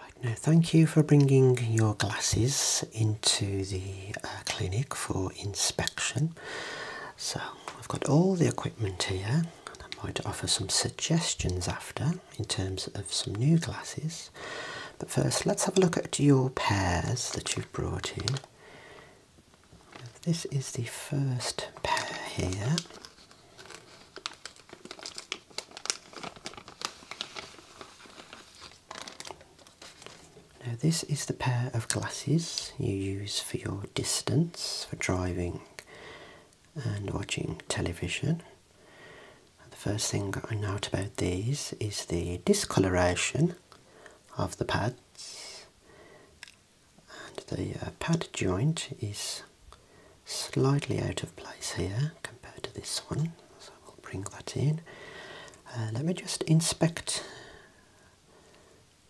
Right now, thank you for bringing your glasses into the uh, clinic for inspection. So, I've got all the equipment here, and I to offer some suggestions after in terms of some new glasses. But first, let's have a look at your pairs that you've brought in. This is the first pair here. Now this is the pair of glasses you use for your distance, for driving and watching television. the first thing I note about these is the discoloration of the pads and the uh, pad joint is slightly out of place here compared to this one, so we'll bring that in. Uh, let me just inspect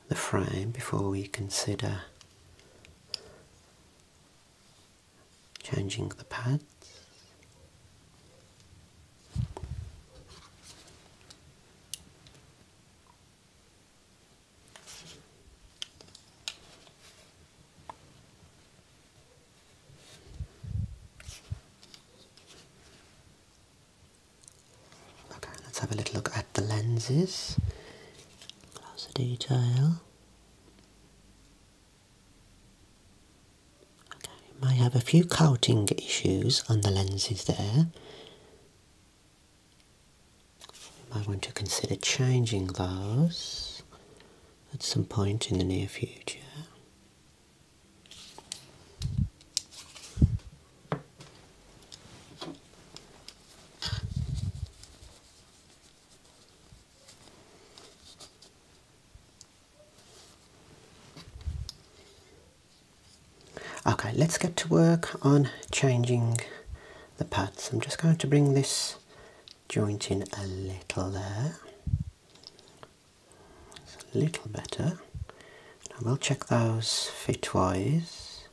the frame before we consider changing the pads. Okay, let's have a little look at the lenses. Closer detail. Okay, you have a few coating issues on the lenses there. You might want to consider changing those at some point in the near future. Okay, let's get to work on changing the pads. I'm just going to bring this Joint in a little there. a little better. I will check those fit-wise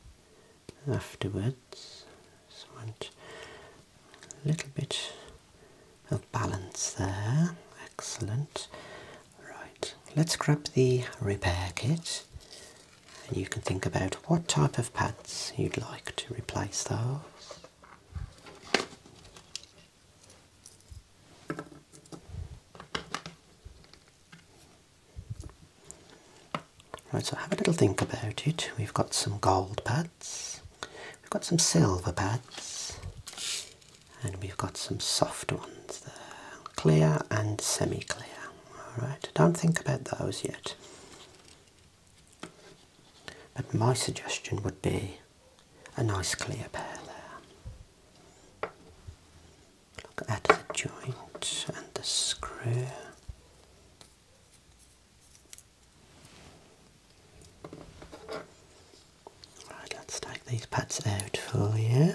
afterwards. So want a little bit of balance there. Excellent. Right, let's grab the repair kit and you can think about what type of pads you'd like to replace those. Right, so have a little think about it. We've got some gold pads, we've got some silver pads, and we've got some soft ones there, clear and semi-clear. All right, don't think about those yet. But my suggestion would be a nice clear pair there. Look at the joint and the screw. Right, let's take these pads out for you.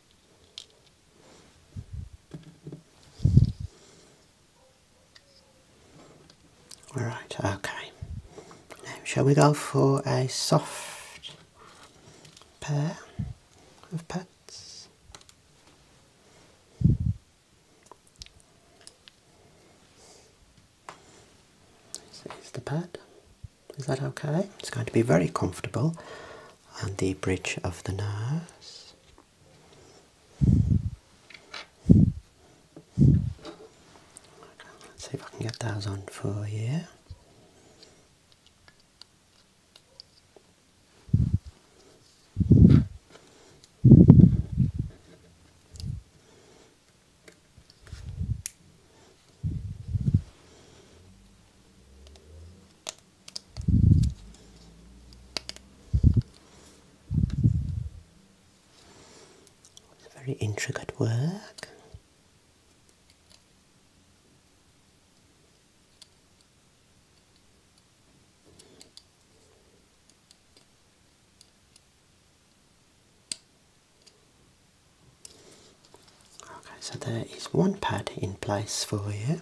All right, okay. Now, shall we go for a soft pair of pads? This is the pad. Is that okay? It's going to be very comfortable on the bridge of the nose. Let's see if I can get those on for you. It's very intricate work. Okay, so there is one pad in place for you.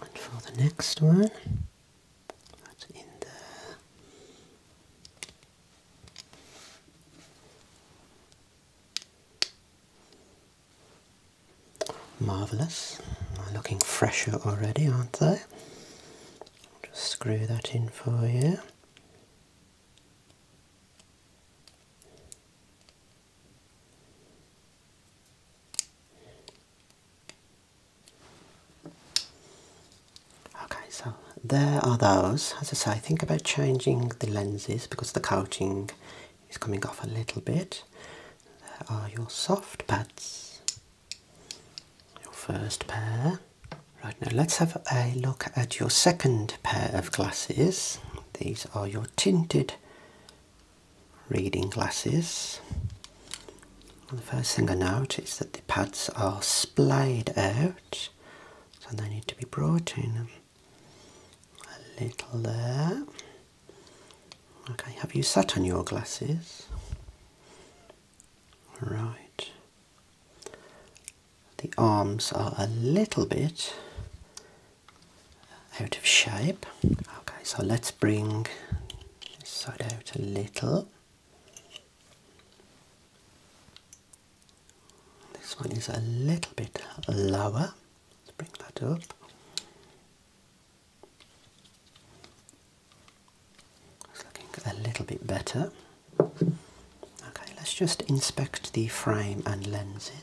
And for the next one, that's in there. marvelous looking fresher already, aren't they? just screw that in for you. Okay, so there are those. As I say, think about changing the lenses because the coating is coming off a little bit. There are your soft pads, your first pair. Right now, let's have a look at your second pair of glasses. These are your tinted reading glasses. the first thing I notice is that the pads are splayed out, so they need to be brought in a little there. Okay, have you sat on your glasses? Right. The arms are a little bit out of shape. Okay, so let's bring this side out a little. This one is a little bit lower. Let's bring that up. It's looking a little bit better. Okay, let's just inspect the frame and lenses.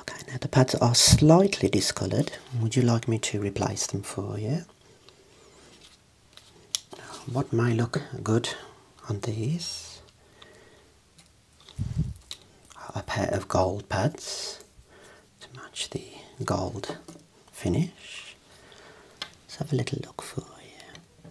Okay, now the pads are slightly discoloured. Would you like me to replace them for you? What might look good on these? A pair of gold pads to match the gold finish. Let's have a little look for you.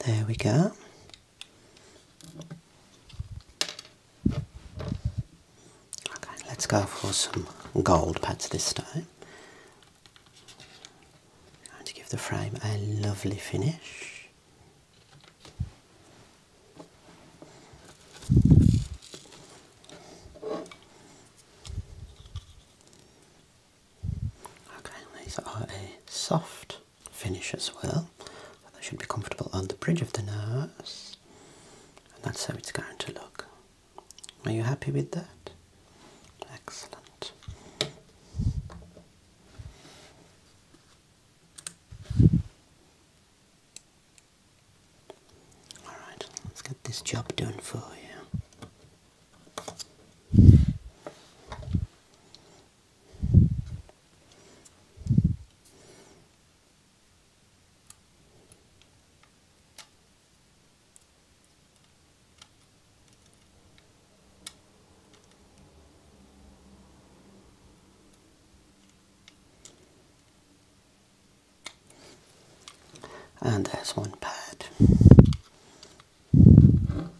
There we go. Okay, let's go for some gold pads this time. going to give the frame a lovely finish. Okay, these are a soft finish as well. they should be comfortable on the bridge of the nose. And that's how it's going to look. Are you happy with that? Excellent. Alright, let's get this job done for you and there's one pad. And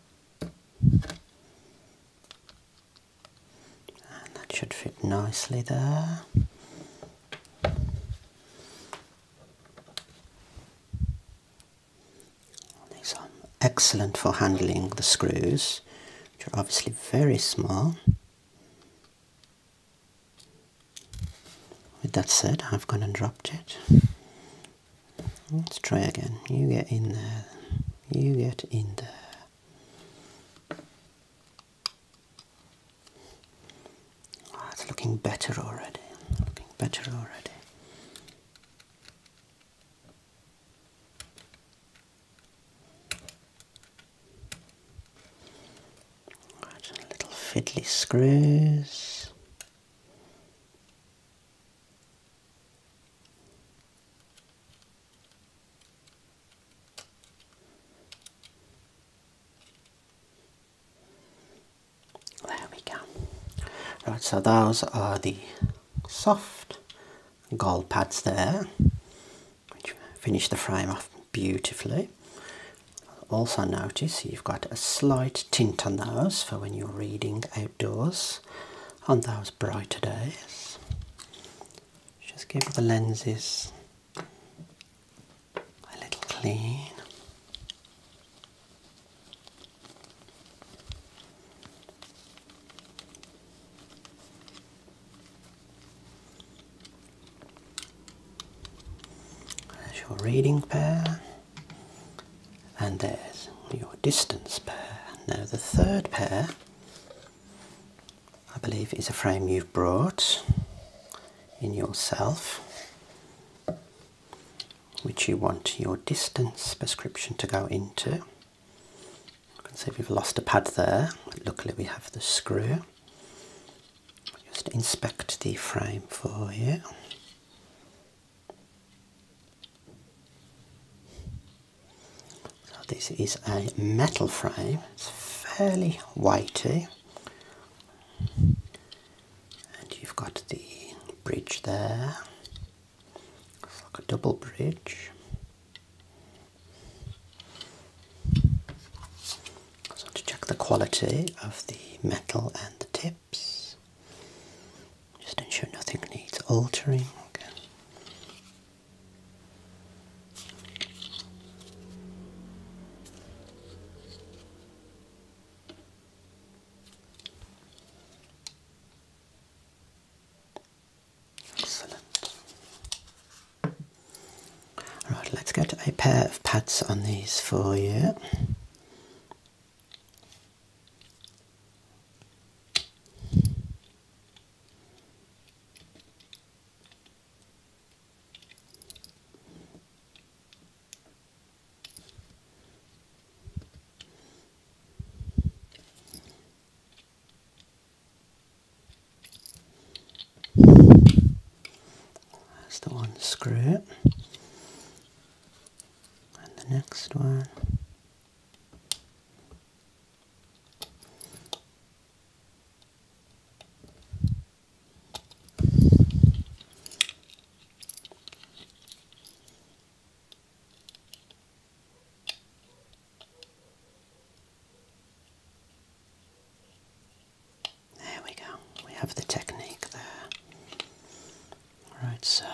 that should fit nicely there. These are excellent for handling the screws, which are obviously very small. With that said, I've gone and dropped it. Let's try again. You get in there. You get in there. Oh, it's looking better already. Looking better already. Right, little fiddly screws. There we go. Right, so those are the soft gold pads there, which finish the frame off beautifully. Also notice you've got a slight tint on those for when you're reading outdoors on those brighter days. Just give the lenses a little clean. There's your reading pair, and there's your distance pair. Now the third pair, I believe, is a frame you've brought in yourself which you want your distance prescription to go into. You can see we've lost a pad there, luckily we have the screw. Just inspect the frame for you. So this is a metal frame. It's fairly weighty. And you've got the bridge there. It's like a double bridge. So to check the quality of the metal and the tips, just ensure nothing needs altering. Excellent. All let's get a pair of pads on these for you. That's the one screw. And the next one. There we go, we have the technique there. Right, so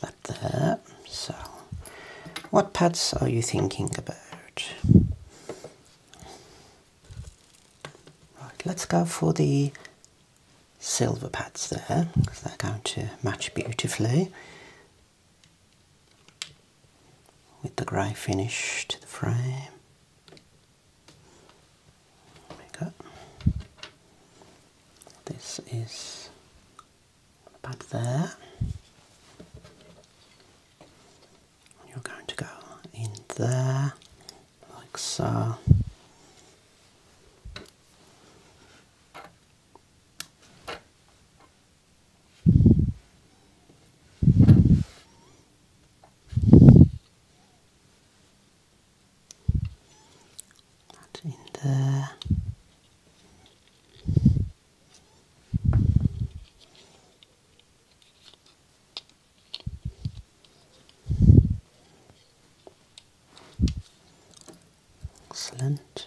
pop that So, what pads are you thinking about? Right, let's go for the silver pads there they're going to match beautifully with the grey finish to the frame. we go. This is back there. You're going to go in there like so. That in there. Excellent.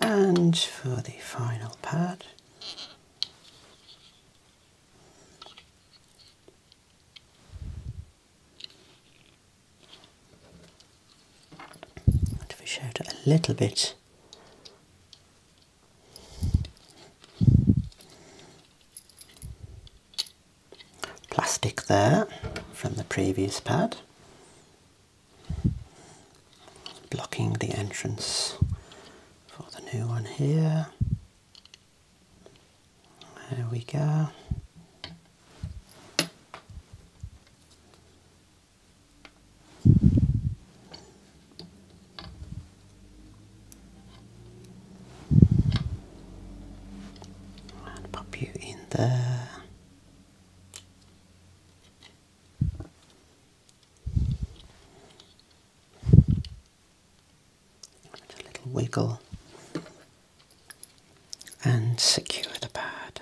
and for the final pad and fish out a little bit plastic there from the previous pad blocking the entrance for the new one here. There we go. And pop you in there. With a little wiggle and secure the pad.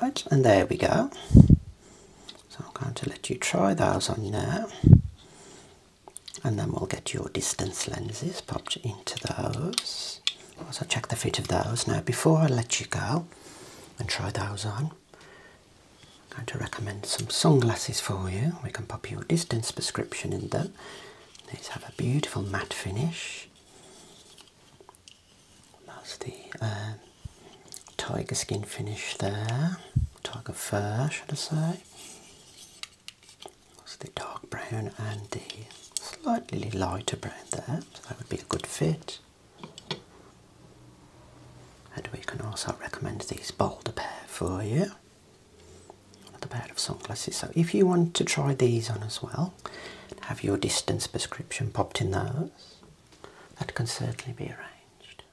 Right, and there we go. So I'm going to let you try those on now and then we'll get your distance lenses popped into those. So check the fit of those. Now before I let you go and try those on, I'm going to recommend some sunglasses for you. We can pop your distance prescription in them. These have a beautiful matte finish. That's the um, tiger skin finish there, tiger fur should I say. So the dark brown and the slightly lighter brown there, so that would be a good fit. And we can also recommend these bolder pair for you. Another pair of sunglasses. So if you want to try these on as well, have your distance prescription popped in those, that can certainly be arranged.